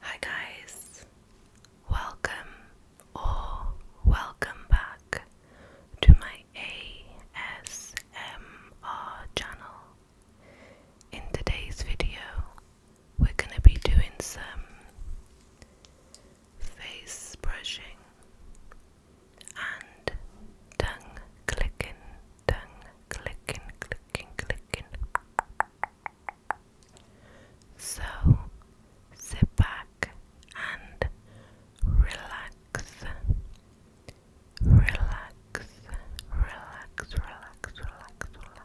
Hi guys, welcome or welcome back to my ASMR channel. In today's video, we're going to be doing some face brushing and tongue clicking, tongue clicking, clicking, clicking. So sit back and relax. Relax, relax, relax, relax, relax.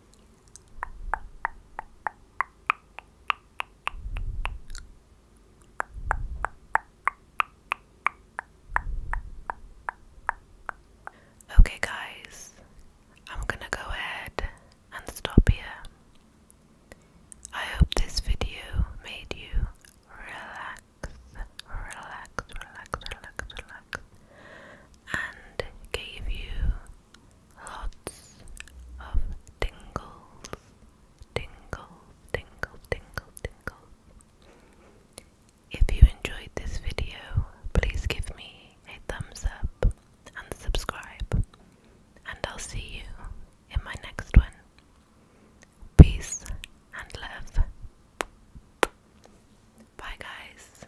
Okay, guys, I'm gonna go ahead and stop here. I hope this video made you relax, relax, relax, relax, relax, and gave you lots of tingles, tingles, tingles, tingles, tingles. If you enjoyed this video, please give me a thumbs up and subscribe, and I'll see you in my next one. Peace and love. Bye, guys.